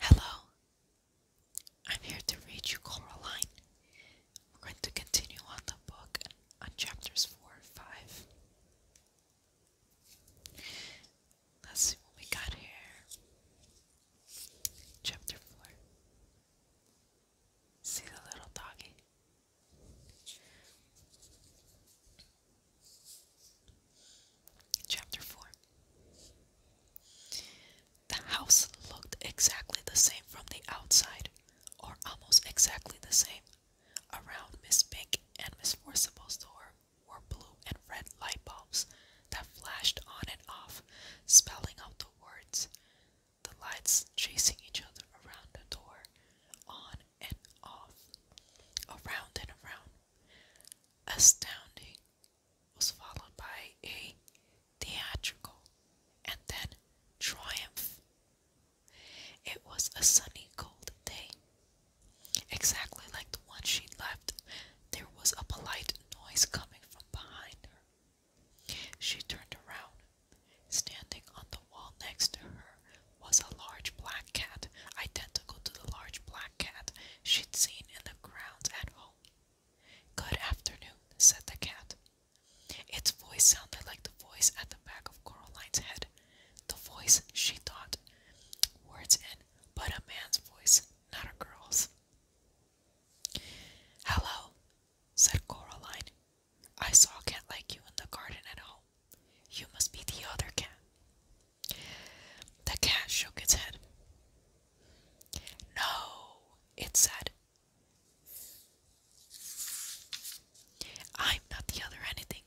Hello. I'm here to read you Coraline. We're going to continue on the book on chapters 4 and 5. Let's see what we got here. Chapter 4. See the little doggy? Chapter 4 The house looked exactly the same from the outside, or almost exactly the same. Around Miss Pink and Miss Forcible's door were blue and red light bulbs that flashed on and off, spelling out the words. The lights chasing each other around the door, on and off, around and around. Astounding was followed by a theatrical and then triumph. It was a sunny, cold day. Exactly like the one she left, there was a polite noise coming from behind her. She turned around. Standing on the wall next to her was a large black cat, identical to the large black cat she'd seen in the grounds at home. Good afternoon, said the cat. Its voice sounded like the voice at the back of Coraline's head. The voice, she thought, words in, but a man's voice, not a girl's. Hello, said Coraline. I saw a cat like you in the garden at home. You must be the other cat. The cat shook its head. No, it said. I'm not the other anything.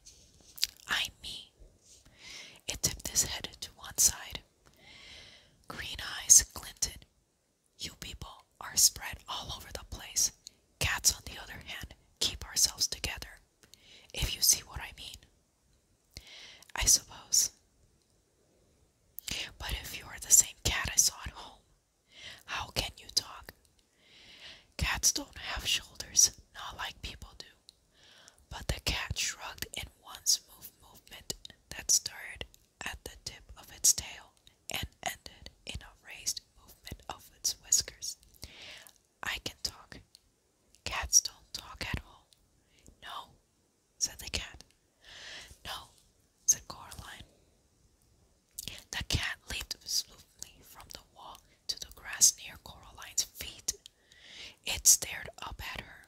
I'm me. It tipped its head to one side. Green eyes glinted. You people are spread all over the place. Cats, on the other hand, keep ourselves together. If you see what I mean. I suppose. But if you are the same cat I saw at home, how can you talk? Cats don't have shoulders, not like people do. But the cat shrugged in one smooth movement that started at the tip of its tail and ended in a raised movement of its whiskers. I can talk, Cats don't talk at all. No, said the cat. No, said Coraline. The cat leaped smoothly from the wall to the grass near Coraline's feet. It stared up at her.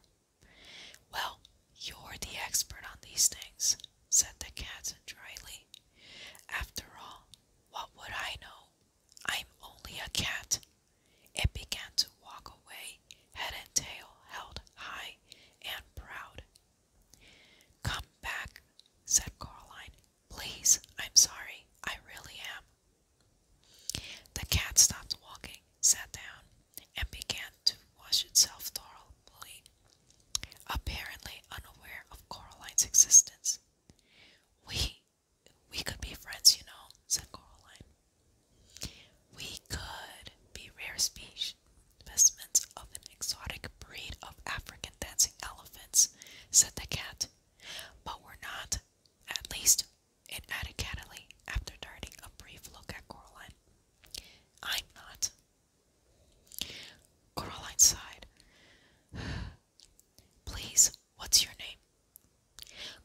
Well, you're the expert on these things, said the cat dryly. After all, what would I know? I'm only a cat. It began to walk away, head and tail held high and proud. Come back, said Caroline. Please, I'm sorry, I really am. The cat stopped walking, sat down, and began to wash itself thoroughly, apparently unaware of Caroline's existence. We we could be friends, you know, said Coraline. Oh, we could be rare species, specimens of an exotic breed of African dancing elephants, said the cat. But we're not, at least, it added cattily after darting a brief look at Coraline. I'm not. Coraline sighed. Please What's your name?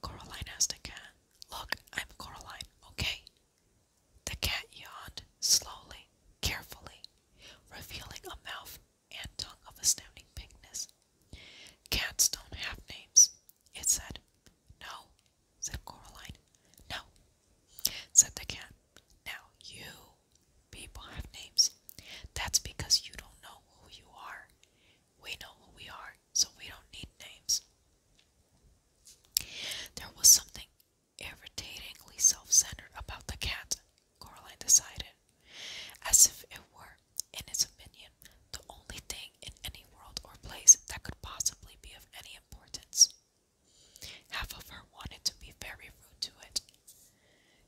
Coraline asked the cat. Look, I'm Coraline, okay? The cat yawned slowly, carefully, revealing a mouth and tongue of astounding pinkness. Cats don't have names, it said. No, said Coraline. No, said the cat. Now you people have names. That's because you don't know who you are. We know who we are, so we don't need names. There was something irritatingly self centered about the cat, Caroline decided, as if it were, in its opinion, the only thing in any world or place that could possibly be of any importance. Half of her wanted to be very rude to it,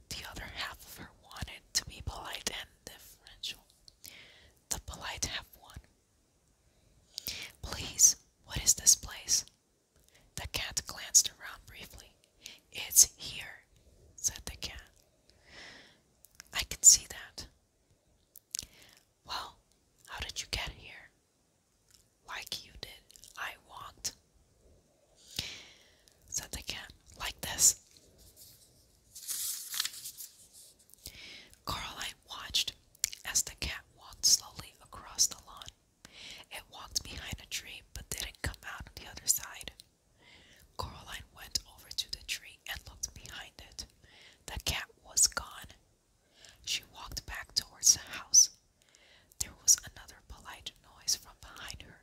the other half of her wanted to be polite and deferential. The polite have won. Please, what is this place? The cat glanced around briefly. It's here, said the cat. I can see that. Well, how did you get here? Like you did, I walked, said the cat, like this. Caroline watched as the cat walked slowly across the lawn. It walked behind a tree but didn't come out on the other side. Caroline went over to the tree and looked behind it. The cat was gone. She walked back towards the house. There was another polite noise from behind her.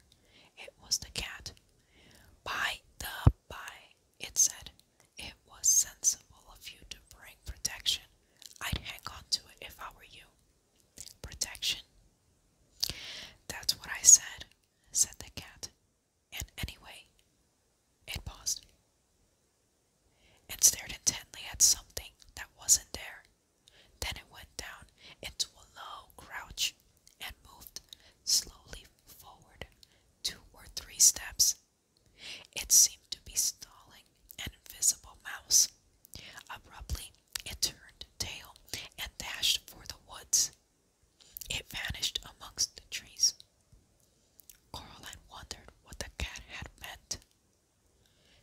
It was the cat. Bye. the by, it said, It was sensible of you to bring protection. I'd hang on to it if I were you. Protection? That's what I said, said the cat. And anyway, it paused and stared intently at something that wasn't there. Then it went down into a low crouch and moved slowly forward two or three steps. It seemed to be stalling an invisible mouse. Abruptly, it turned tail and dashed for the woods. It vanished amongst the trees. Caroline wondered what the cat had meant.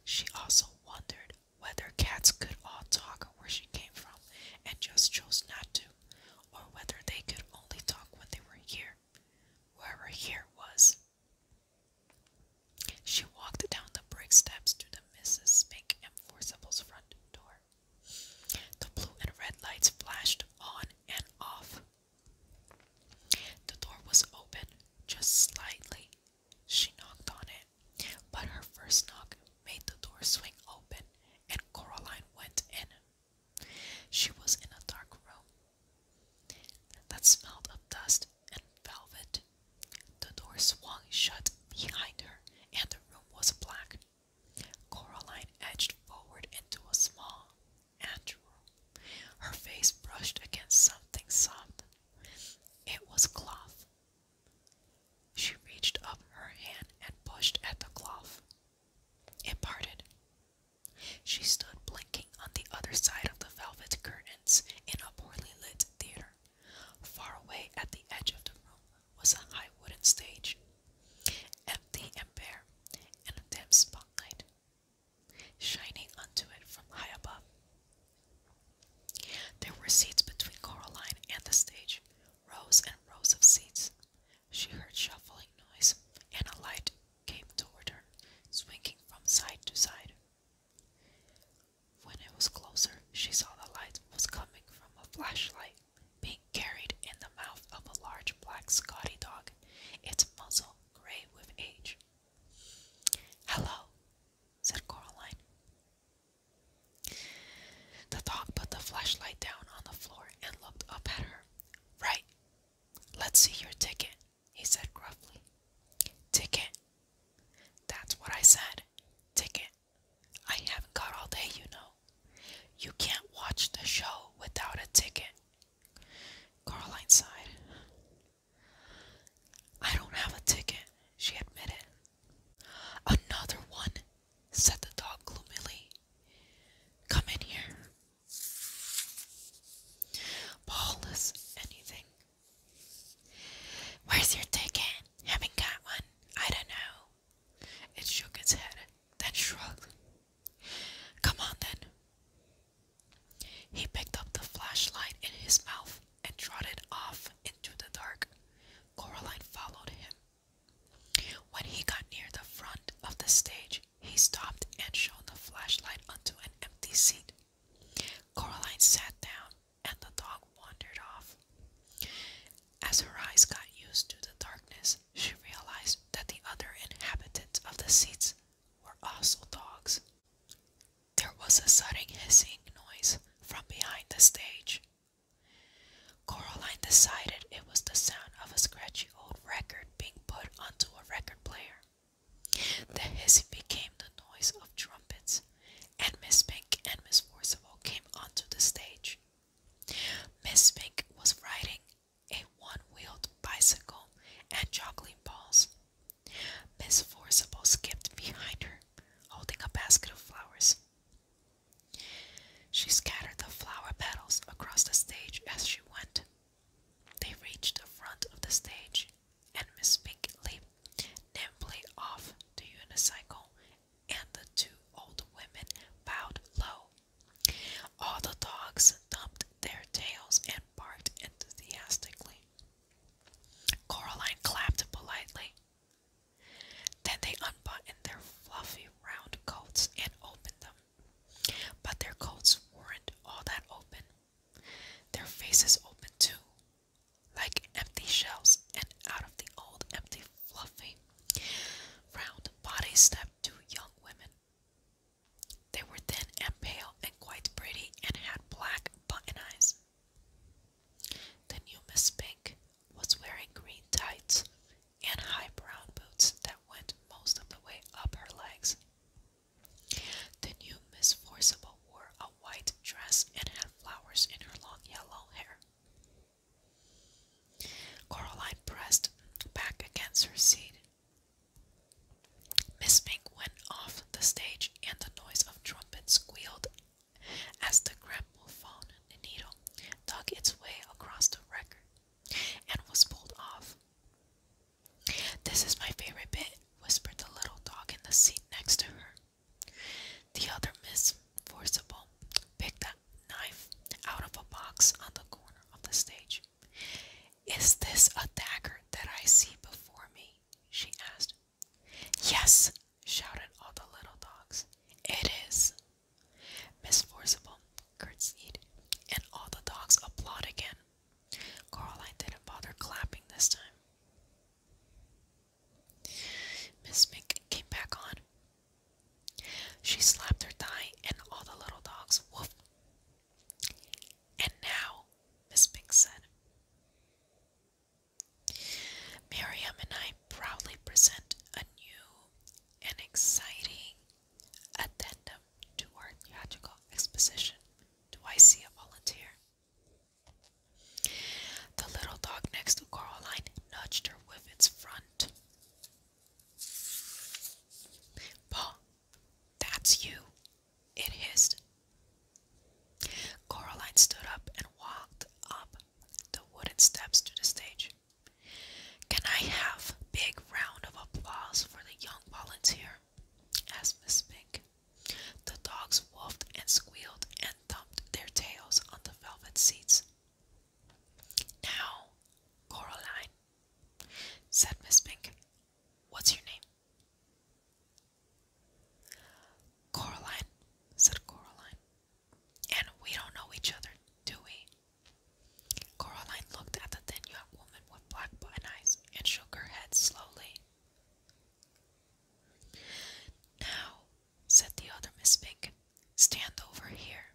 She also wondered whether cats could all talk where she came from and just chose not to or whether they could only talk when they were here, wherever here was. She walked down the brick steps to the Mrs. Spink and front door. The blue and red lights flashed on and off. The door was open, just slightly. She knocked on it, but her first knock made the door swing open, and Coraline went in. She was in a dark room that smelled of dust and velvet. The door swung shut behind her, and the room was black. Coraline edged forward into a small anteroom. Her face brushed against something soft. It was cloth. She reached up her hand and pushed at the cloth. It parted. She stood blinking on the other side of the velvet curtains in a poorly lit theater. Far away at the edge of the room was a high wooden stage, empty and bare, and a dim spotlight shining onto it from high above. There were seats between Caroline and the stage, rows and rows of seats. She heard shuffling noise, and a light came toward her, swinging from side to side. When it was closer, she saw the light was coming from a flashlight being carried in the mouth of a large black Scotty dog, its muzzle gray with age. Hello, said Caroline. The dog put the flashlight down on the floor and looked up at her. Right. Let's see your ticket, he said gruffly. Ticket. That's what I said. Ticket. I haven't got all day, you know. You can't watch the show without a ticket. Caroline sighed. I don't have a ticket, she admitted. Another one, said the dog gloomily. Come in here. Paulus, anything. Where's your ticket? Haven't got one. I don't know. It shook its head, then shrugged. Come on then. He picked up the flashlight in his mouth and trotted off into the dark. Coraline followed him. When he got near the front of the stage, he stopped and shone the flashlight onto an empty seat. Coraline sat down, and the dog wandered off. As her eyes got used to the darkness, she realized that the other inhabitants of the seats were also dogs. There was a sudden hissing noise from behind the stage. Caroline decided it was the sound of a scratchy old record being put onto a record player. The hissing became the noise of trumpets, and Miss Pink and Miss Forcible came onto the stage. Miss Pink was riding a one-wheeled bicycle and juggling balls. Miss Forcible skipped behind her, holding a basket of flowers. She scattered the flower petals across the stage as she went. They reached the front of the stage, and Miss Pink leaped nimbly off the unicycle, and the two old women bowed low. All the dogs thumped their tails and barked enthusiastically. Coraline clapped politely. Then they unbuttoned their fluffy round coats and opened them. But their coats weren't all that open. Their faces open too, like empty shells, and out of the old, empty, fluffy, round bodies stepped two young women. They were thin and pale and quite pretty and had black button eyes. The new Miss Pink was wearing green tights and high brown boots that went most of the way up her legs. The new Miss Forcible wore a white dress and had flowers in her long yellow hair. Coraline pressed back against her seat. Miss Pink went off the stage, and the noise of trumpets squealed as the gramophone needle dug its way across the record and was pulled off. This is my favorite bit, whispered the little dog in the seat next to her. The other Miss Forcible picked a knife out of a box on the corner of the stage. Is this a dagger that I see before me? she asked. Yes, shouted all the little dogs. It is, Miss Forcible curtsied, and all the dogs applaud again. Caroline didn't bother clapping this time. Miss Mink came back on. She slapped her thigh, and all the little dogs whooped. And now, Miss Mink said, Miriam and I proudly present a new and exciting Addendum to our theatrical exposition. Do I see a volunteer? The little dog next to Coraline nudged her with its front. Paul, that's you, it hissed. Coraline stood up and walked up the wooden steps to the stage. Can I have a big round of applause for the young volunteer? asked Miss Pink. The dogs wolfed and squealed and thumped their tails on the velvet seats. Now, Coraline, said Miss Pink, what's your name? Coraline, said Coraline. And we don't know each other, do we? Caroline looked at the thin young woman with black button eyes and shook her head slowly. Now, said the other Miss Pink, stand over here.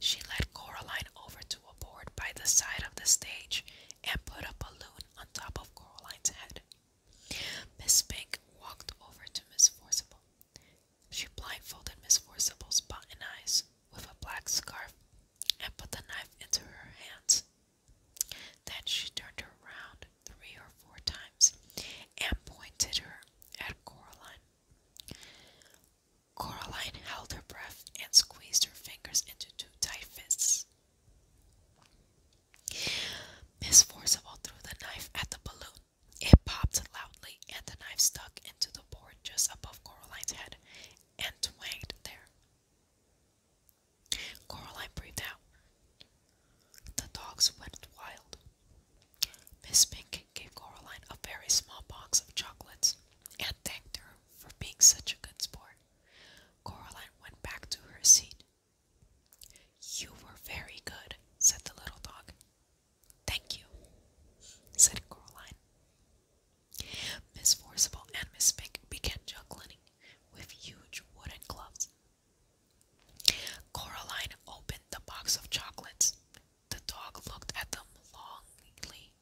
She led Caroline over to a board by the side of the stage and put a balloon on top of Caroline's head. Miss Pink walked over to Miss Forcible. She blindfolded Miss Forcible's button eyes with a black scarf and put the knife into her hands. Then she turned her around three or four times and pointed her at Coraline. Coraline held her breath and squeezed her fingers into two tight fists. Miss Forcible threw the knife at the balloon it popped loudly, and the knife stuck into the board just above Coraline's head and twanged there. Coraline breathed out. The dogs went wild. Miss Pink gave Coraline a very small box of chocolates and thanked her for being such a good sport. Coraline went back to her seat. You were very good, said the little dog. Thank you, said Coraline. Miss Forcible and Miss Spink began juggling with huge wooden gloves. Coraline opened the box of chocolates. The dog looked at them longingly.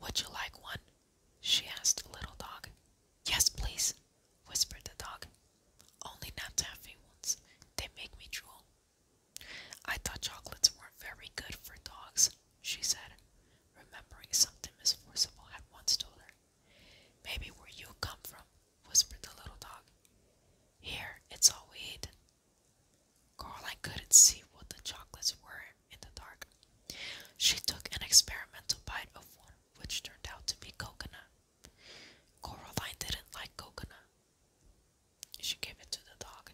Would you like one? she asked Little Dog. Yes, please, whispered the dog. Only not taffy They make me drool. I thought chocolates weren't very good for dogs, she said, remembering something Miss Forcible had once told her. Maybe where you come from, whispered the little dog. Here, it's all we eat. Caroline couldn't see what the chocolates were in the dark. She took an experimental bite of one, which turned out to be coconut. Coraline didn't like coconut, she gave it to the dog.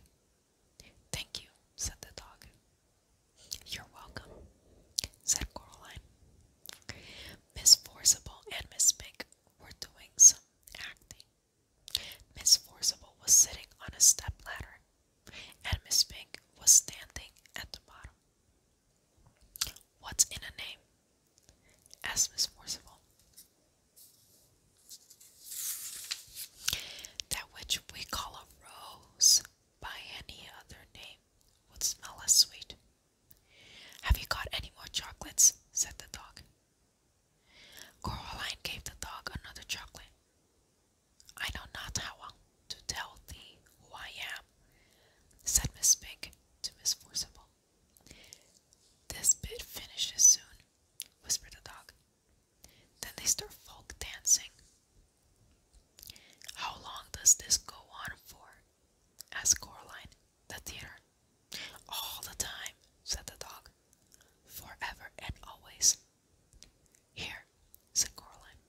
Thank you, said the dog. You're welcome, said Coraline. Miss Forcible and Miss Pink were doing some acting. Miss Forcible was sitting on a step ladder, and Miss Pink was standing at the bottom. What's in a name? asked Miss Forcible. That which we call a rose by any other name would smell as sweet. Have you got any more chocolates? said the dog. Caroline gave the dog another chocolate. I know not how to tell thee who I am, said Miss Pink to Miss Forcible. This bit finishes soon, whispered the dog. Then they start folk dancing. How long does this go on for? asked Coraline, the theater. All the time, said the dog. Forever and always. Here, said Coraline,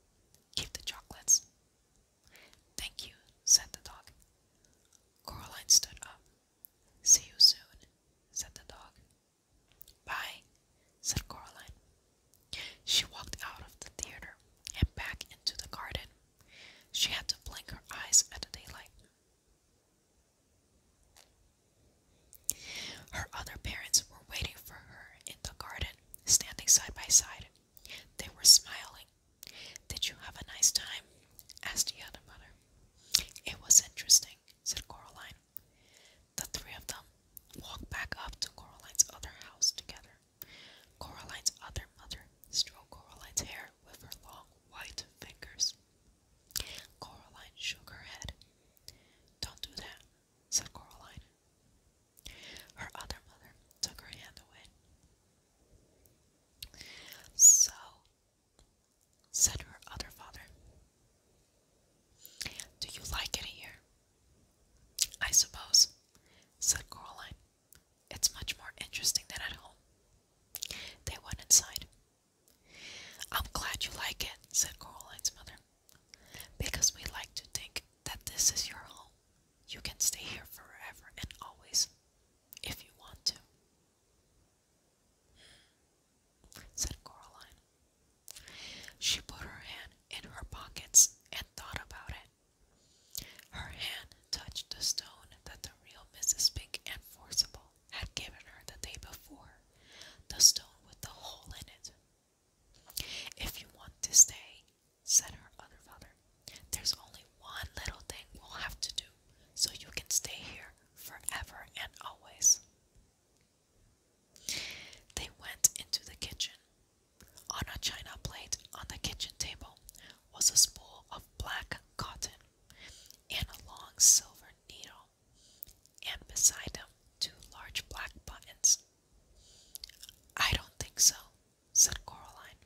keep the chocolates. Thank you, said the dog. Coraline stood up See you soon, said the dog. Bye, said Caroline. She walked out of the theater and back into the garden. She had to blink her eyes at the daylight. Her other parents were waiting for her in the garden, standing side by side. They were smiling. Did you have a nice time? asked the other mother. It was interesting, said Coraline. The three of them walked back up to Coraline's other house together. Coraline's other mother stroked Coraline's hair with her long white fingers. Coraline shook her head. Don't do that, said Coraline. Her other mother took her hand away. So said her other father. Do you like it here? I suppose, said Caroline. It's much more interesting than at home. They went inside. I'm glad you like it, said Caroline's mother, because we like to think that this is your home. You can stay here forever and always, if you want to said Coraline. She put her hand in her pockets and thought about it. Her hand touched the stone that the real Mrs. Pink and Forcible had given her the day before, the stone with the hole in it. If you want to stay, said her other father, there's only one little thing we'll have to do, so you can stay here forever and always. They went into the kitchen. On a china plate on the kitchen table was a spool of black cotton and a long silver needle, and beside them two large black buttons. I don't think so, said Coraline.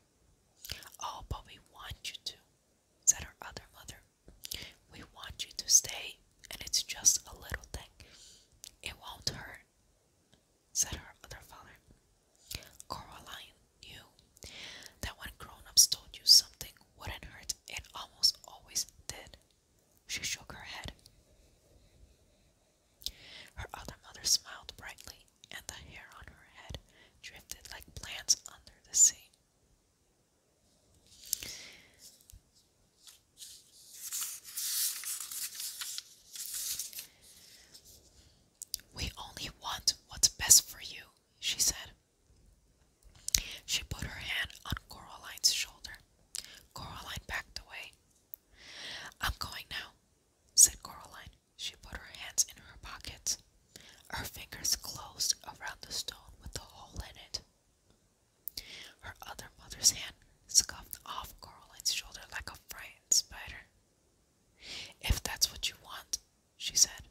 Oh, but we want you to, said her other mother. We want you to stay, and it's just a little thing. It won't hurt, said her other father. Coraline knew that when grown ups told you something wouldn't hurt, it almost always did. She shook her head. Her other mother smiled brightly, and the hair on her head drifted like plants under the sea. We only want what's best for you, she said. She put her hand on Coraline's shoulder. Coraline backed away. I'm going now, said Coraline. She put her hands in her pockets. Her fingers closed around the stone with the hole in it. Her other mother's hand scuffed off Caroline's shoulder like a frightened spider. If that's what you want, she said.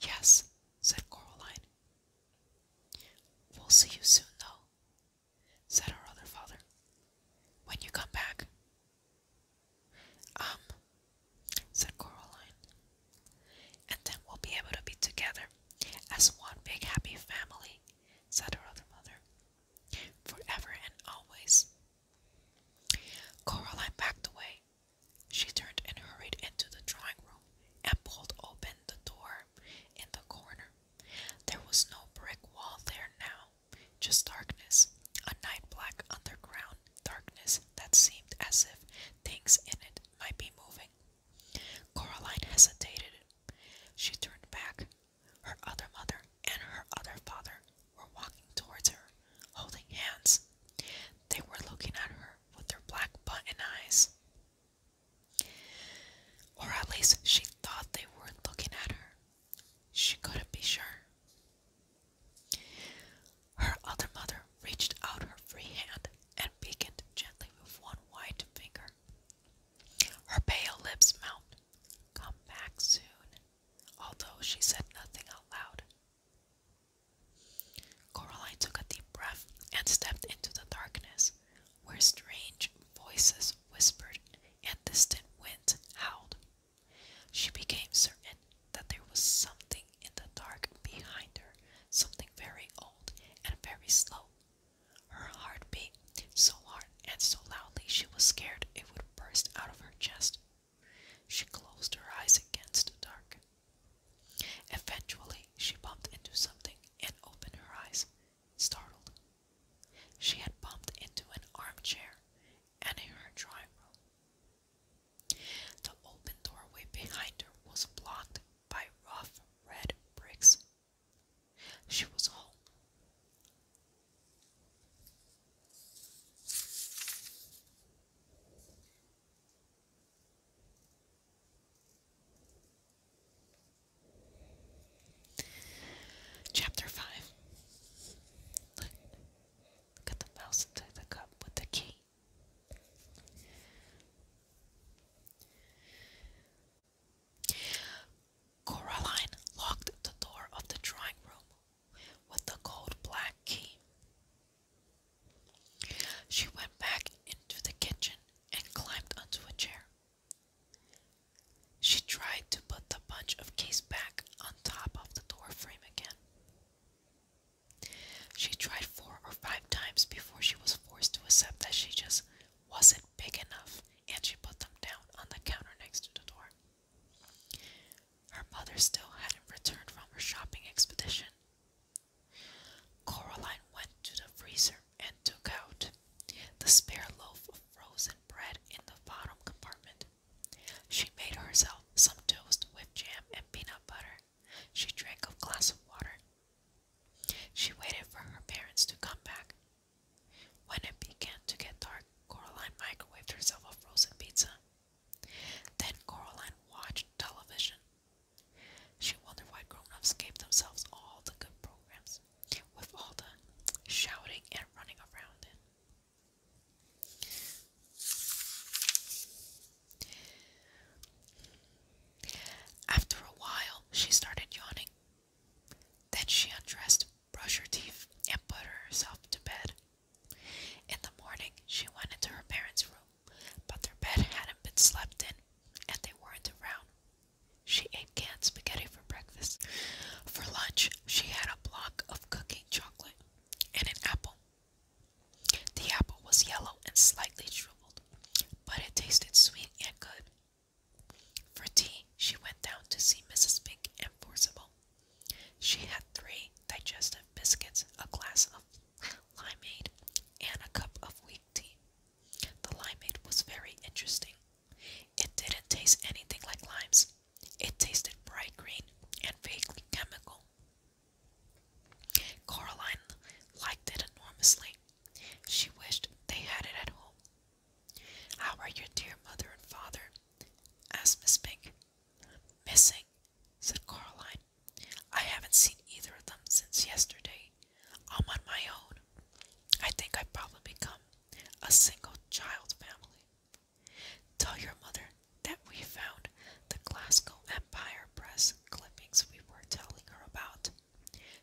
Yes, said Coraline. We'll see you soon, though, said her other father. When you come back. Um, said Coraline. And then we'll be able to be together as one big happy family, said her other mother, forever and always. Coraline backed away. She turned and hurried into the drawing room and pulled open the door in the corner. There was no brick wall there now, just darkness, a night black underground darkness that seemed as if things in it might be moving. Coraline hesitated. She turned back. Her other mother and her other father were walking towards her, holding hands. They were looking at her with their black button eyes. Or at least she thought they were looking at her. She couldn't be sure. Her other mother reached out her free hand and beckoned gently with one white finger. Her pale lips mouthed, Come back soon, although she said nothing aloud. loud. Coraline took a deep breath and stepped into the darkness, where strange voices whispered and distant winds howled. She became certain that there was something in the dark behind her, something very old and very slow. Her heart beat so hard and so loudly she was scared it would burst out of her chest. She closed her eyes against the dark. Eventually, she bumped into something and opened her eyes, startled. She had bumped into an armchair and in her drawing room. The open doorway behind her was blocked by rough red bricks. She was home. Chapter 5 Look, the mouse inside the cup with the key. Coraline locked the door of the drawing room with the cold black key. She went back into the kitchen and climbed onto a chair. She tried to put the bunch of keys back on top of the door frame again. She tried four or five times before she was forced to accept that she just wasn't big enough, and she put them down on the counter next to the door. Her mother still hadn't returned from her shopping expedition. Coraline went to the freezer and took out the spare loaf of frozen bread in the bottom compartment. She made herself some toast with jam and peanut butter she drank a glass of water. She waited for her parents to come back. When it began to get dark, Coraline microwaved herself a frozen pizza. Then Coraline watched television. She wondered why grown-ups gave themselves all the good programs, with all the shouting and running around in. After a while, she started yawning. Then she undressed, brushed her teeth, and put herself to bed. In the morning, she went into her parents' room, but their bed hadn't been slept in, and they weren't around. She ate canned spaghetti for breakfast. For lunch, she had a block of cooking chocolate and an apple. The apple was yellow and slightly shriveled, but it tasted sweet and good. For tea, she went down to see Mrs. Pink and Forcible. She had three digestive biscuits, a glass of limeade, and a cup of weak tea. The limeade was very interesting. It didn't taste anything like limes. It tasted bright green and vaguely chemical. Caroline liked it enormously. She wished they had it at home. How are your dear mother and father? asked Miss Pink. Missing, said Caroline. I haven't seen either of them since yesterday. I'm on my own. I think I've probably become a single child family. Tell your mother that we found the Glasgow Empire Press clippings we were telling her about.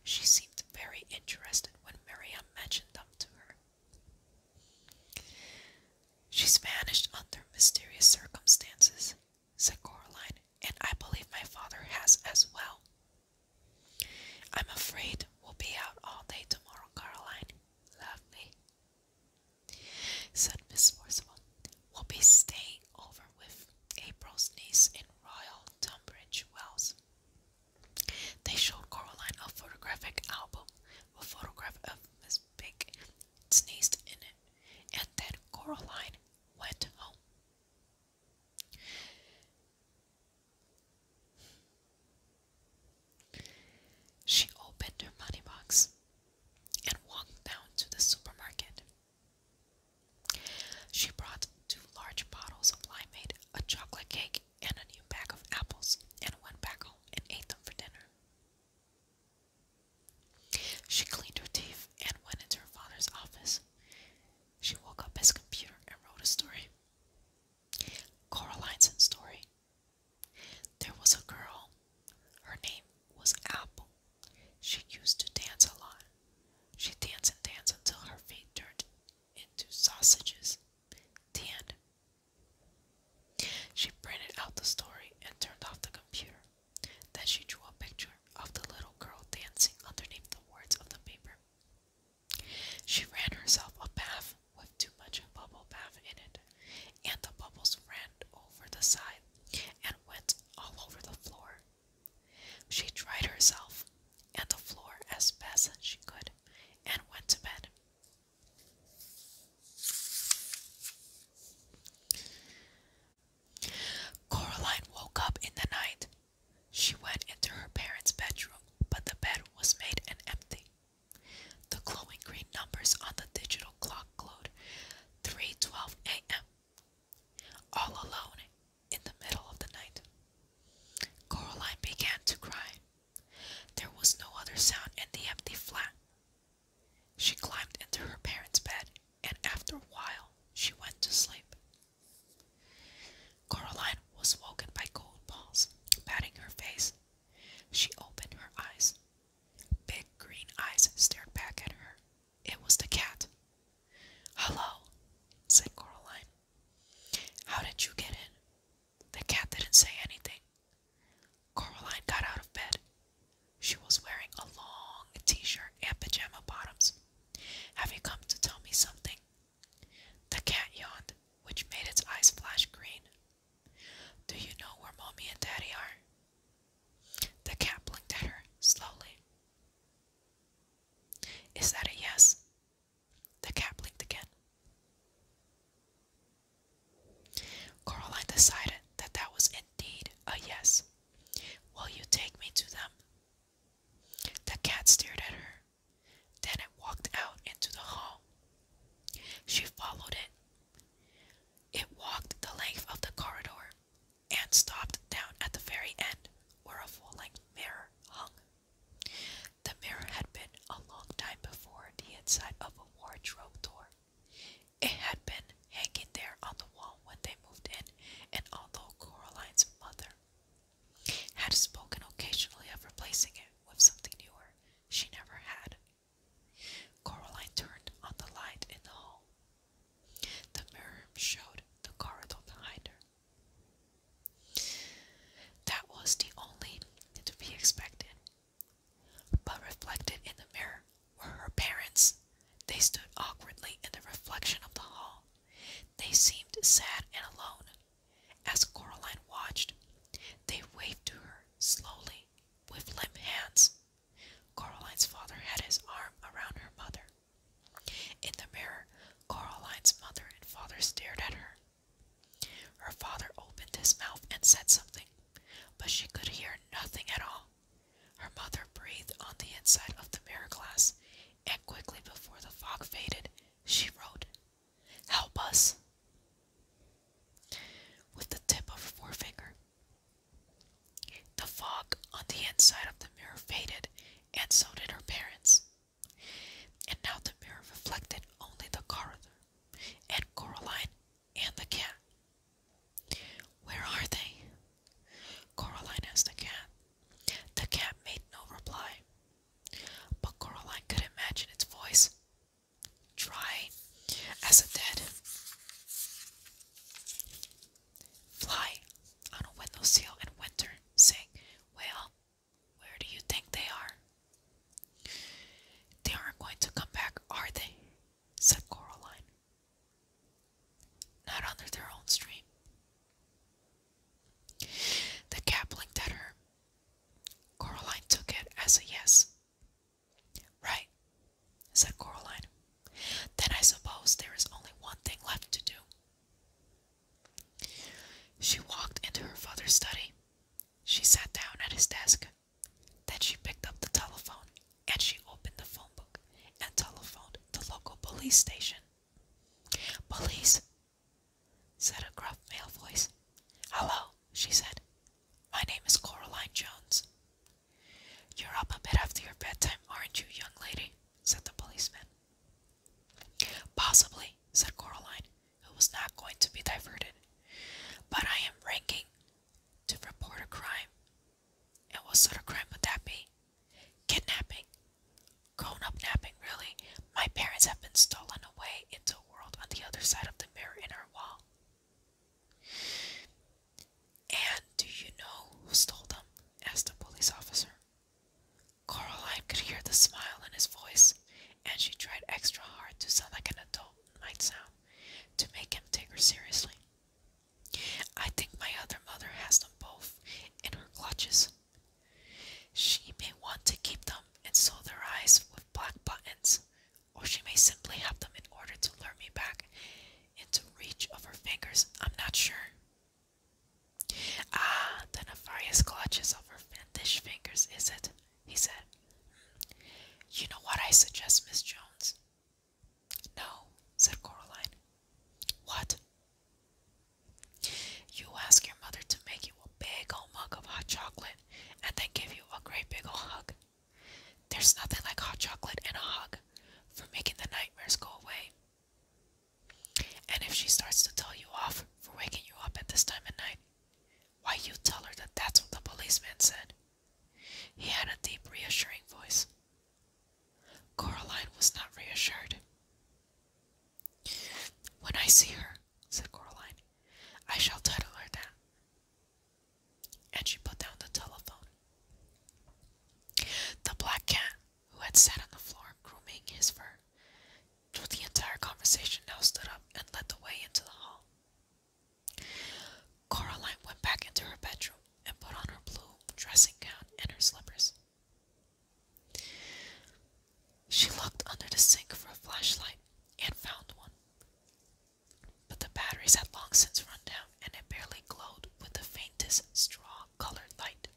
She seemed very interested when Miriam mentioned them to her. She's vanished under mysterious circumstances, said Caroline. and I believe my father has as well. I'm afraid we'll be out all day tomorrow, Caroline. Lovely, said Miss Forcible will be staying over with April's niece in Royal Tunbridge Wells. They showed Coraline a photographic album a photograph of Miss Pink sneezed in it, and then Coraline went home. She opened her money box and walked down to the supermarket. She brought two large bottles of limeade, a chocolate cake, and a new bag of apples, and went back home and ate them for dinner. She cleaned her teeth and went into her father's office. She woke up his computer and wrote a story. Coraline's story. There was a girl. Her name was Apple. She used to dance a lot. She danced and danced until her feet turned into sausages. The She printed out the story and turned off the computer. Then she drew a picture of the little girl dancing underneath the words of the paper. She ran herself a bath with too much bubble bath in it, and the bubbles ran over the side and went all over the floor. She dried herself and the floor as best as she could and went to bed. Coraline woke up in the night. She went into her parents' bedroom, but the bed was made and empty. The glowing green numbers on the digital clock glowed 3:12 a.m all alone in the middle of the night. Coraline began to cry. There was no other sound in the empty flat. She climbed into her parents' bed, and after a while, she went to sleep. Caroline was woken by cold paws patting her face. She opened her eyes. Big green eyes stared back at her. It was the cat. Hello, said Coraline. How did you get in? The cat didn't say anything. Coraline got out of bed. She was wearing a long t shirt and pajama bottoms. Have you come to tell me something? The cat yawned, which made its eyes flash green. Do you know where Mommy and Daddy are? The cat blinked at her slowly. Is that a yes? The cat blinked again. Caroline decided that that was indeed a yes. Will you take me to them? The cat stared at her. Then it walked out into the hall. She followed it. It walked the length of the corridor, and stopped down at the very end where a full length mirror hung. The mirror had been a long time before the inside of a wardrobe door. It had been hanging there on the wall when they moved in, and although Coraline's mother had spoken occasionally of replacing it with something newer, she never had. Coraline turned on the light in the hall. The mirror showed the corridor behind her. That was the only to be expected. But reflected in the mirror were her parents. They stood awkwardly in the reflection of the hall. They seemed sad and alone. As Coraline watched, they waved to her slowly with limp hands. Caroline's father had his arm around her mother. In the mirror, Caroline's mother and father stared at her. Her father opened his mouth and said something, but she could hear nothing at all. Her mother breathed on the inside of the mirror glass, and quickly before the fog faded, she wrote, Help us! With the tip of her forefinger, the fog on the inside of the mirror faded, and so did her parents. And now the mirror reflected only the corridor, and Coraline, and the cat. Where are they? Coraline asked the cat. The cat made no reply, but Coraline could imagine its voice, dry as a dead. Fly on a window sill in winter, saying, Well, where do you think they are? They aren't going to come back, are they? said Coraline. Not under their own stream. The cap blinked at her. Coraline took it as a yes. Right, said Coraline. Then I suppose there is only one thing left to do. She walked into her father's study. She sat down at his desk. Then she picked up the telephone and she opened the phone book and telephoned the local police station. Police, said a gruff male voice. Hello, she said. My name is Coraline Jones. You're up a bit after your bedtime, aren't you, young lady? said the policeman. Possibly, said Coraline, who was not going to be diverted. But I am ranking to report a crime. And what sort of crime would that be? Kidnapping. Grown up napping, really. My parents have been stolen away into a world on the other side of the mirror in our wall. And do you know who stole them? asked the police officer. Caroline could hear the smile in his voice, and she tried extra hard to sound like an adult might sound to make him take her seriously. I think my other mother has them both in her clutches. She may want to keep them and sew their eyes with black buttons, or she may simply have them in order to lure me back into reach of her fingers. I'm not sure. Ah, the nefarious clutches of her finnish fingers, is it? He said. You know what I suggest, Miss Jones? No, said Coraline. What? You ask your mother to make you a big old mug of hot chocolate and then give you a great big old hug. There's nothing like hot chocolate and a hug for making the nightmares go away. And if she starts to tell you off for waking you up at this time of night, why you tell her that that's what the policeman said. He had a deep, reassuring voice. Coraline was not reassured. When I see her, said Coraline, I shall title her that and she put down the telephone. The black cat, who had sat on the floor grooming his fur through the entire conversation, now stood up and led the way into the hall. Caroline went back into her bedroom and put on her blue dressing gown and her slippers. She looked under the sink for a flashlight and found one but the batteries had long since run down and it barely glowed with the faintest straw colored light.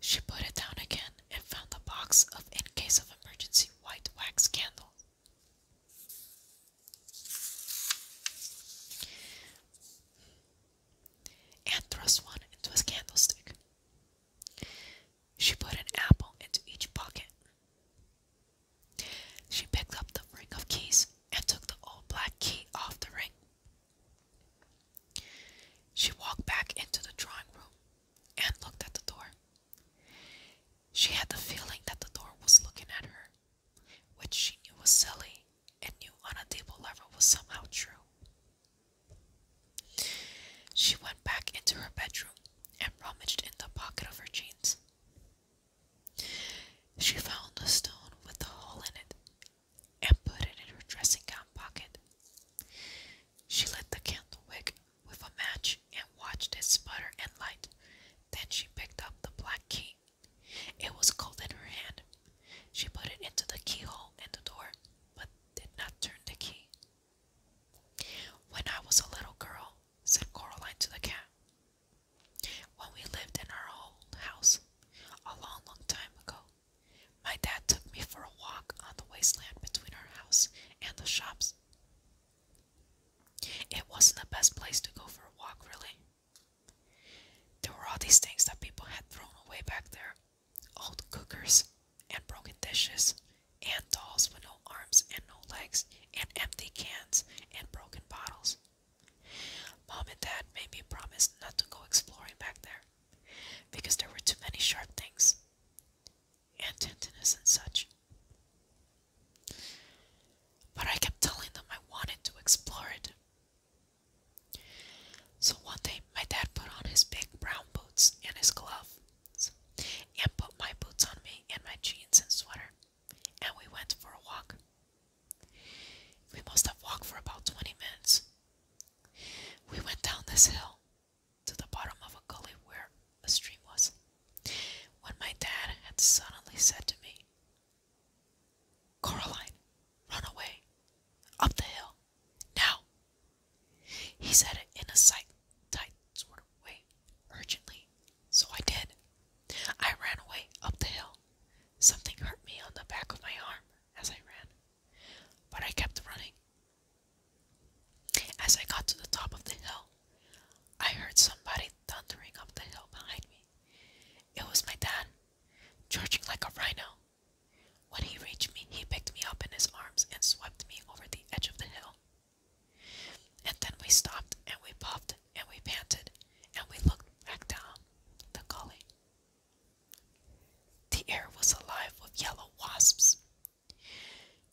She put it down again and found the box of in case of emergency white wax candle, And thrust one into a candlestick. She put an apple into each pocket. She picked up the ring of keys and took the old black key off the ring. She walked back into the drawing room and looked at the door. She had the feeling that the door was looking at her, which she knew was silly and knew on a deeper level was somehow true. She went back into her bedroom and rummaged in the pocket of her jeans. She found a stone with a hole in it and put it in her dressing gown pocket. She lit the candle wick with a match and watched it sputter and light. Then she picked up the black key. It was cold in her hand. She put it into the keyhole in the door, but did not turn the key. When I was a little girl, said Caroline to the cat, when we lived in our old house a long, long time ago, my dad took me for a walk on the wasteland between our house and the shops. It wasn't the best place to go for a walk, really. There were all these things that people had thrown away back there old cookers and broken dishes and dolls with no arms and no legs, and empty cans and broken bottles. Mom and Dad made me promise not to go exploring back there because there were too many sharp things and tintiness and such. But I kept telling them I wanted to explore it. So one day, my dad put on his big brown boots and his gloves and put my boots on me and my jeans and sweater and we went for a walk. We must have walked for about 20 minutes. We went down this hill to the bottom of a gully where a stream was. When my dad had suddenly said to me, "Caroline, run away, up the hill, now. He said it in a sight tight sort of your urgently. So I did. I ran away up the hill. Something hurt me on the back of my arm as I ran, but I kept running. As I got to the top of the hill, I heard somebody thundering up the hill behind me. It was my dad, charging like a rhino. When he reached me, he picked me up in his arms and swept me over the edge of the hill. And then we stopped and we puffed and we panted and we looked back down the gully. The air was alive with yellow wasps.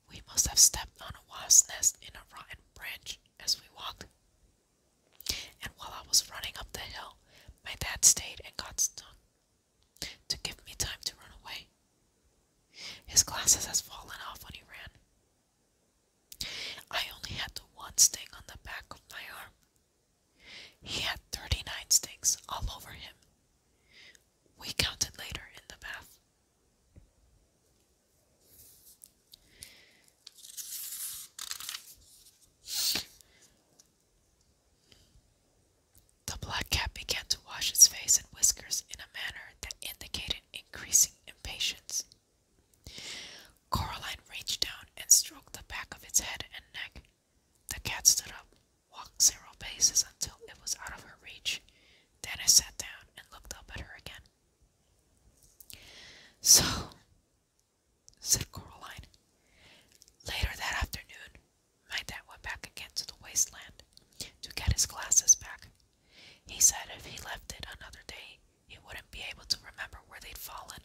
We must have stepped on a wasp's nest in a rotten branch as we walked. And while I was running up the hill, my dad stayed and got stung to give me time to run away. His glasses has fallen off when he ran, I only had the one sting on the back of my arm. He had thirty nine stings all over him. We counted later in the bath. The black cat began to wash his face and whiskers in a manner that indicated increasing impatience. Caroline reached down and stroked the back of its head and neck. The cat stood up, walked several paces until it was out of her reach. Then it sat down and looked up at her again. So, said Caroline. Later that afternoon, my dad went back again to the wasteland to get his glasses back. He said if he left it another day, he wouldn't be able to remember where they'd fallen.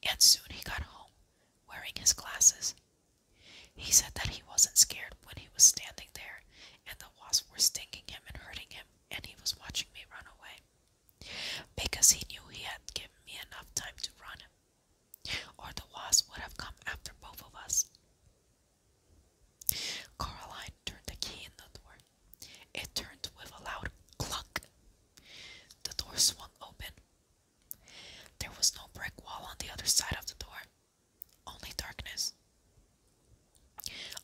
And soon he got home, wearing his glasses. He said that he wasn't scared when he was standing there and the wasps were stinging him and hurting him, and he was watching me run away. Because he knew he had given me enough time to run, or the wasps would have come after both of us. Caroline turned the key in the door. It turned with a loud clunk. The door swung open. There was no brick wall on the other side of the door, only darkness.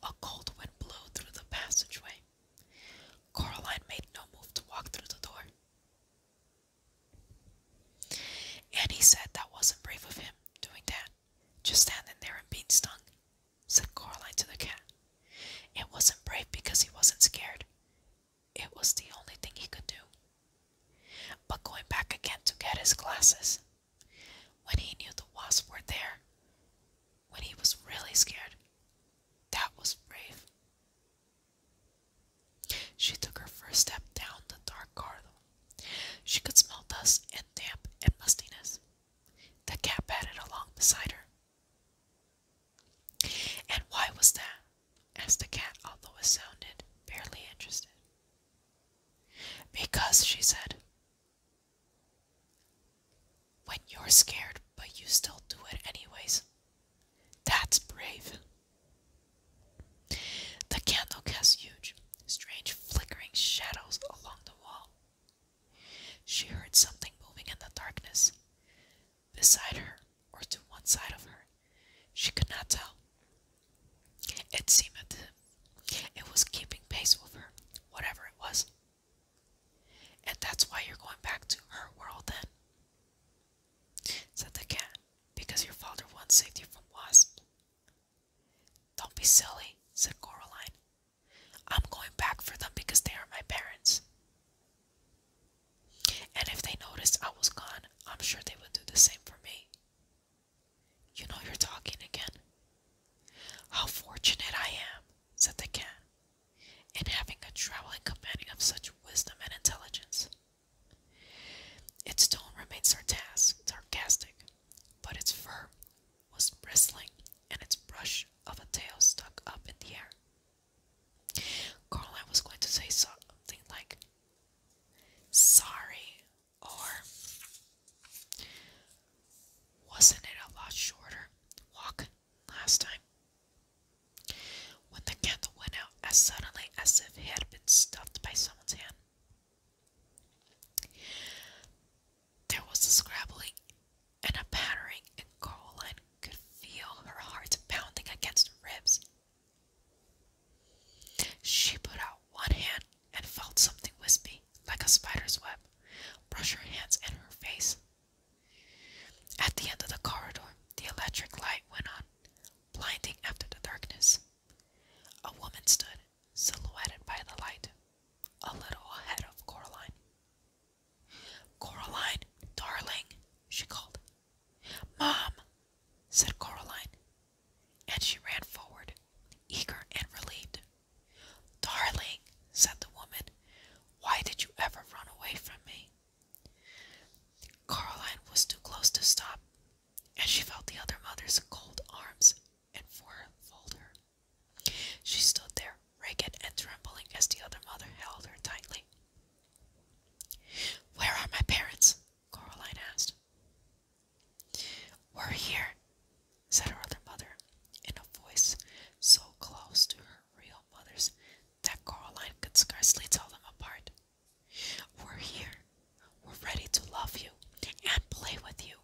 A cold wind blew through the passageway. Caroline made no move to walk through the door. Annie said that wasn't brave of him, doing that, just standing there and being stung said Coraline to the cat. It wasn't brave because he wasn't scared. It was the only thing he could do. But going back again to get his glasses, when he knew the wasps were there, when he was really scared, that was brave. She took her first step down the dark corridor. She could smell dust and damp and mustiness. The cat padded along beside her. And why was that? asked the cat, although it sounded barely interested. Because, she said, when you're scared, but you still do it anyways, that's brave. The candle cast huge, strange flickering shadows along the wall. She heard something moving in the darkness. Beside her, or to one side of her, she could not tell. It seemed it was keeping pace with her, whatever it was. And that's why you're going back to her world then, said the cat, because your father once saved you from wasps. Don't be silly, said Coraline. I'm going back for them because they are my parents. And if they noticed I was gone, I'm sure they would do the same for me. You know you're talking again. How fortunate I am, said the cat, in having a traveling companion of such wisdom and intelligence. Its tone remained sarcastic, but its fur was bristling, and its brush of a tail stuck up in the air. Caroline was going to say something like, Sorry, or wasn't it a lot shorter walk last time? When the candle went out as suddenly as if it had been stuffed by someone's hand, there was a scrabbling and a pattering, and Caroline could feel her heart pounding against her ribs. She put out one hand and felt something wispy, like a spider's web, brush her hands and her face. At the end of the corridor, the electric light went on, blinding after the darkness. A woman stood silhouetted by the light, a little ahead of Coraline. Coraline, darling, she called. Mom, said Coraline, and she ran forward, eager and relieved. Darling, said the woman, why did you ever run away from me? Coraline was too close to stop, and she felt the other mother's cold arms enfold her. She stood there, ragged and trembling, as the other mother held her tightly. Where are my parents? Caroline asked. We're here, said her other mother, in a voice so close to her real mother's that Caroline could scarcely tell them apart. We're here. We're ready to love you, and play with you,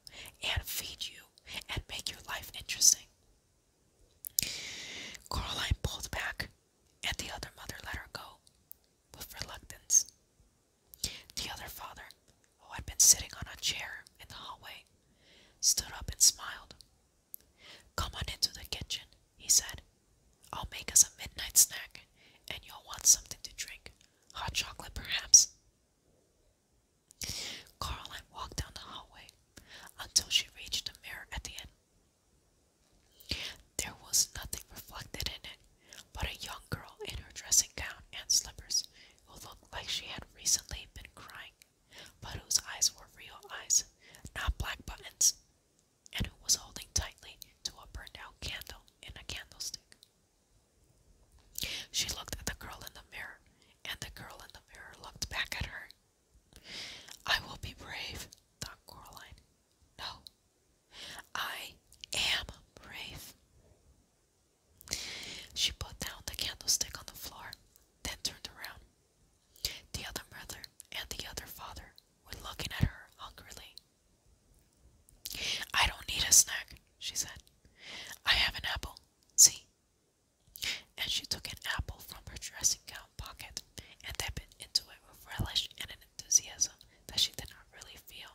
and feed you, and make your life interesting. Caroline pulled back, and the other mother let her go with reluctance. The other father, who had been sitting on a chair in the hallway, stood up and smiled. Come on into the kitchen, he said. I'll make us a midnight snack, and you'll want something to drink. Hot chocolate, perhaps. Caroline walked down the hallway until she reached the mirror at the end. There was nothing reflected in it but a young girl in her dressing gown and slippers who looked like she had recently been crying, but whose eyes were real eyes, not black buttons, and who was holding tightly to a burned out candle in a candlestick. She looked at the girl in the mirror, and the girl in the mirror looked back at her. I will be brave, thought Coraline. No, I am brave. She put down the candlestick on the floor, then turned around. The other mother and the other father were looking at her hungrily. I don't need a snack, she said. I have an apple. See? And she took an apple from her dressing gown pocket and dipped into it with relish and an enthusiasm that she did not really feel.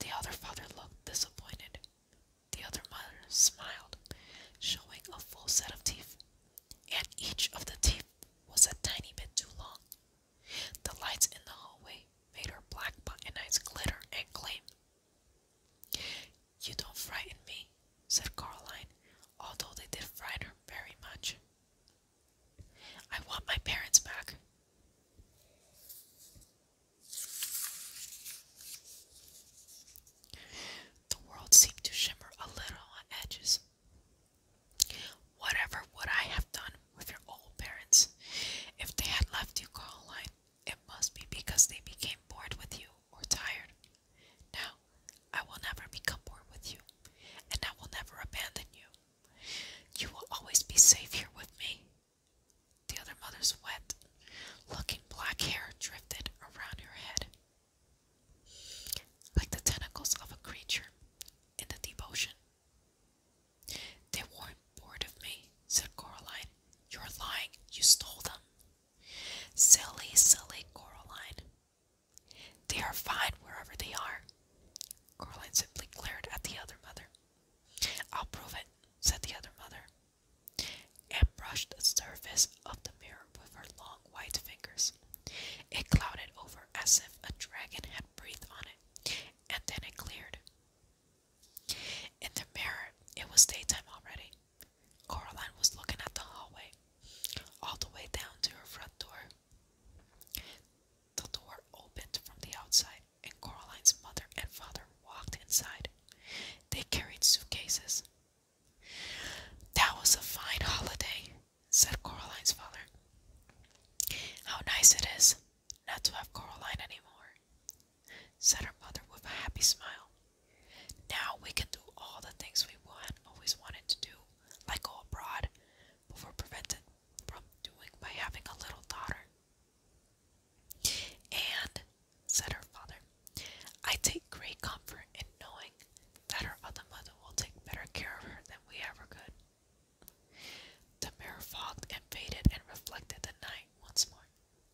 The other father looked disappointed. The other mother smiled, showing a full set of teeth, and each of the teeth was a tiny bit too long. The lights in the hallway made her black button eyes glitter and gleam. You don't frighten me, said Caroline, although they did frighten her very much. I want my parents back. The world seemed to shimmer a little on edges. Whatever would I have done with your old parents if they had left you, Caroline? It must be because they became bored with you or tired. Now, I will never become bored with you, and I will never abandon you. You will always be safe here with me. The other mother's wet, looking black hair drifted around her head. Like the tentacles of a creature in the deep ocean. They weren't bored of me, said Coraline. You're lying. You stole them. Silly, silly Coraline. They are fine wherever they are. Coraline simply glared at the other mother. I'll prove it, said the other mother, and brushed the surface of the mirror with her long white fingers. It clouded over as if a dragon had breathed on it, and then it cleared. In the mirror, it was daytime already. Caroline was looking at the hallway, all the way down to her front door. The door opened from the outside, and Caroline's mother and father walked inside. They carried suitcases. That was a fine holiday, said Caroline's father. How nice it is not to have Coraline anymore said her mother with a happy smile. Now we can do all the things we want, always wanted to do, like go abroad, before prevented from doing by having a little daughter. And, said her father, I take great comfort in knowing that her other mother will take better care of her than we ever could. The mirror fogged and faded and reflected the night once more.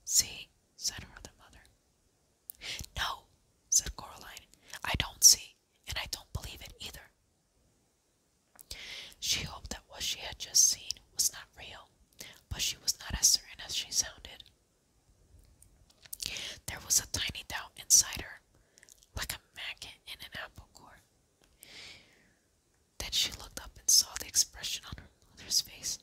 See, said her other mother. No, said Coraline, I don't see, and I don't believe it either. She hoped that what she had just seen was not real, but she was not as certain as she sounded. There was a tiny doubt inside her, like a magnet in an apple core. Then she looked up and saw the expression on her mother's face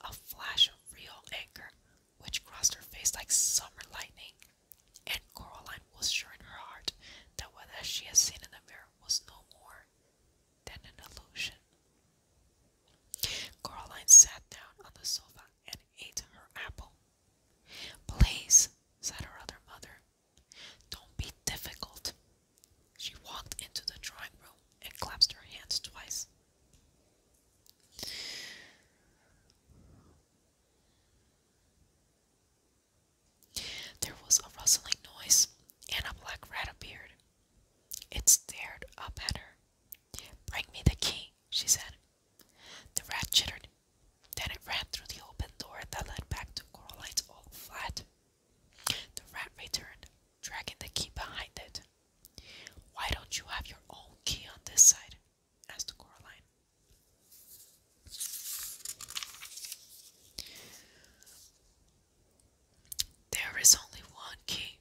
a flash of real anger which crossed her face like summer lightning. And Coraline was sure in her heart that what she had seen in the mirror was no more than an illusion. Coraline sat down on the sofa and ate her apple. Please, said her other mother, don't be difficult. She walked into the drawing room and clasped her hands twice. There was a rustling noise, and a black rat appeared. It stared up at her. Bring me the key, she said. The rat chittered. Then it ran through the open door that led back to Coraline's old flat. The rat returned, dragging the key behind it. Why don't you have your own key on this side? asked Coraline. There is only one key,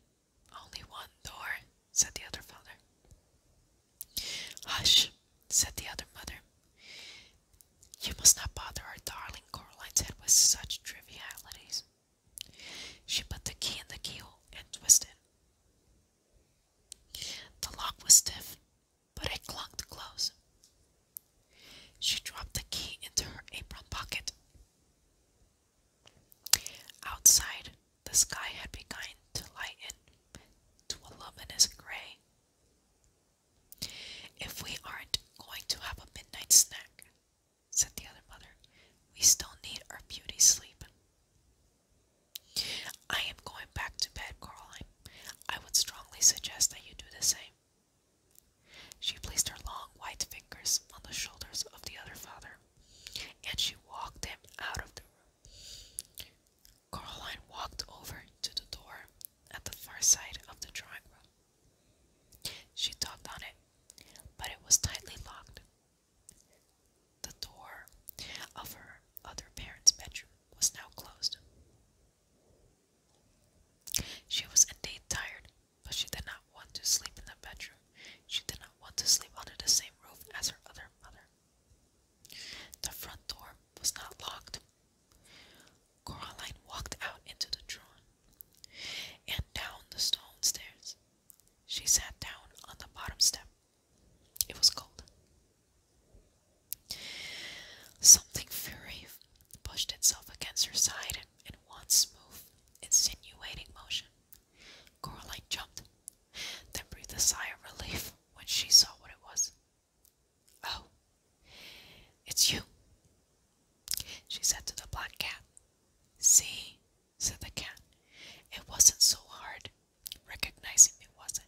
only one door, said the other father. Hush, said the other mother. You must not bother our darling, Caroline said with such trivialities. She put the key in the keyhole and twisted. The lock was stiff, but it clung to close. She dropped the key into her apron pocket. Outside, the sky had begun to lighten to a luminous gray. If we aren't going to have a midnight snack, said the other mother, we still need our beauty sleep. I am going back to bed, Caroline. I would strongly suggest that you do the same. She placed her long white fingers on the shoulders of the other father, and she walked him out of the room. Caroline walked over to the door at the far side of the drawing room. She tugged on it, but it was tightly locked. The door of her other parents' bedroom was now closed. She was indeed tired, but she did not want to sleep in the bedroom. She did not want to sleep under the same roof as her other mother. The front door was not locked. Coraline walked out into the drawn and down the stone stairs. She sat down on the bottom step. It was cold. Something furry pushed itself against her side in one smooth, insinuating motion. Coraline jumped, then breathed a sigh of relief when she saw what it was. Oh, it's you, she said to the black cat. See, said the cat, it wasn't so hard. Recognizing me wasn't,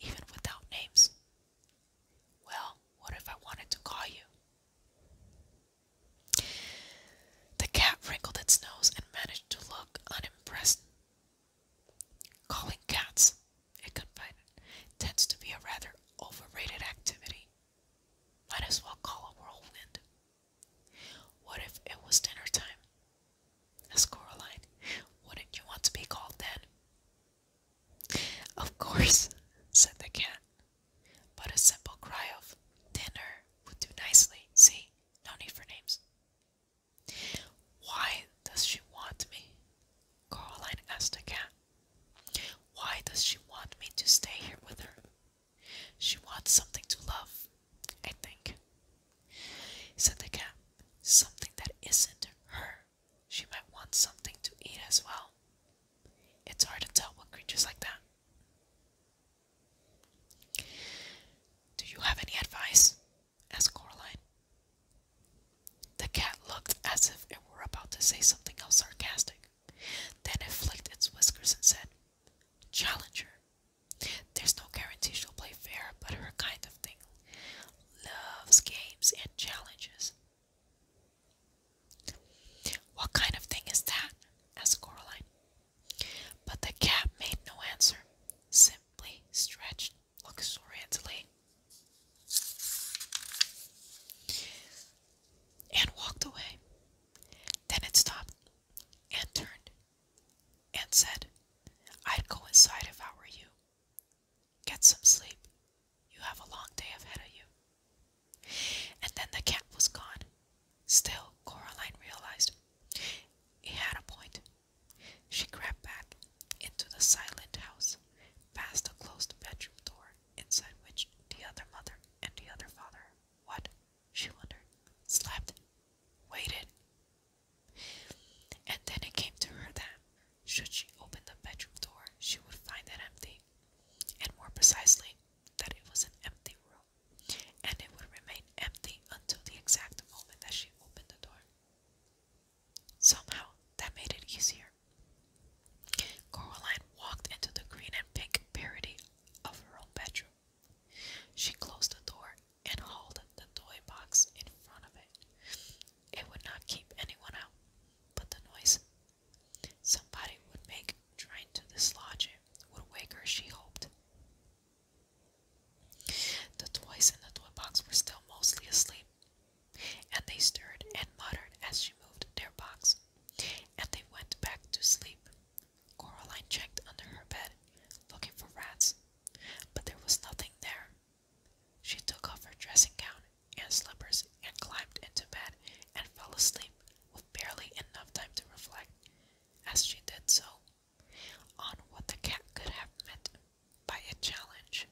even without names. Well, what if I wanted to call you? The cat wrinkled its nose and managed to look unimpressed. Calling cats, it confided, tends to be a rather overrated activity. Might as well call a whirlwind. What if it was dinner time? asked Coraline. Wouldn't you want to be called then? Of course, said the cat. But a simple cry of dinner would do nicely. See, no need for names. Why does she want me? Caroline asked the cat. Why does she want me to stay here with her? She wants something to love, I think. Said the cat, something that isn't her. She might want something to eat as well. It's hard to tell what creatures like that. Do you have any advice? asked Coraline. The cat looked as if it were about to say something else sarcastic. Then it flicked its whiskers and said, Challenger. There's no guarantee she'll play fair, but her kind of thing loves games and challenges. What kind of thing is that? asked Coraline. But the cat made no answer, simply stretched luxuriantly and walked away. Then it stopped and turned and said, I'd go inside if I were you. Get some sleep. You have a long day ahead of you. And then the cat was gone. Still, Coraline realized he had a point. She crept back into the silent house, past the closed bedroom door, inside which the other mother and the other father, what? she wondered, slept, waited. And then it came to her that, should she open the bedroom door, she would find it empty, and more precisely, that it was an empty room, and it would remain empty until the exact moment that she opened the door. Somehow, that made it easier. Caroline walked into the green and pink parody of her own bedroom. She closed the door and hauled the toy box in front of it. It would not keep anyone out, but the noise somebody would make trying to dislodge it would wake her, she hoped. The toys in the toy box were still mostly asleep, and they stirred and muttered as she moved their box, and they went back to sleep. Coraline checked under her bed, looking for rats, but there was nothing there. She took off her dressing gown and slippers and climbed into bed and fell asleep with barely enough time to reflect, as she did so, on what the cat could have meant by a challenge.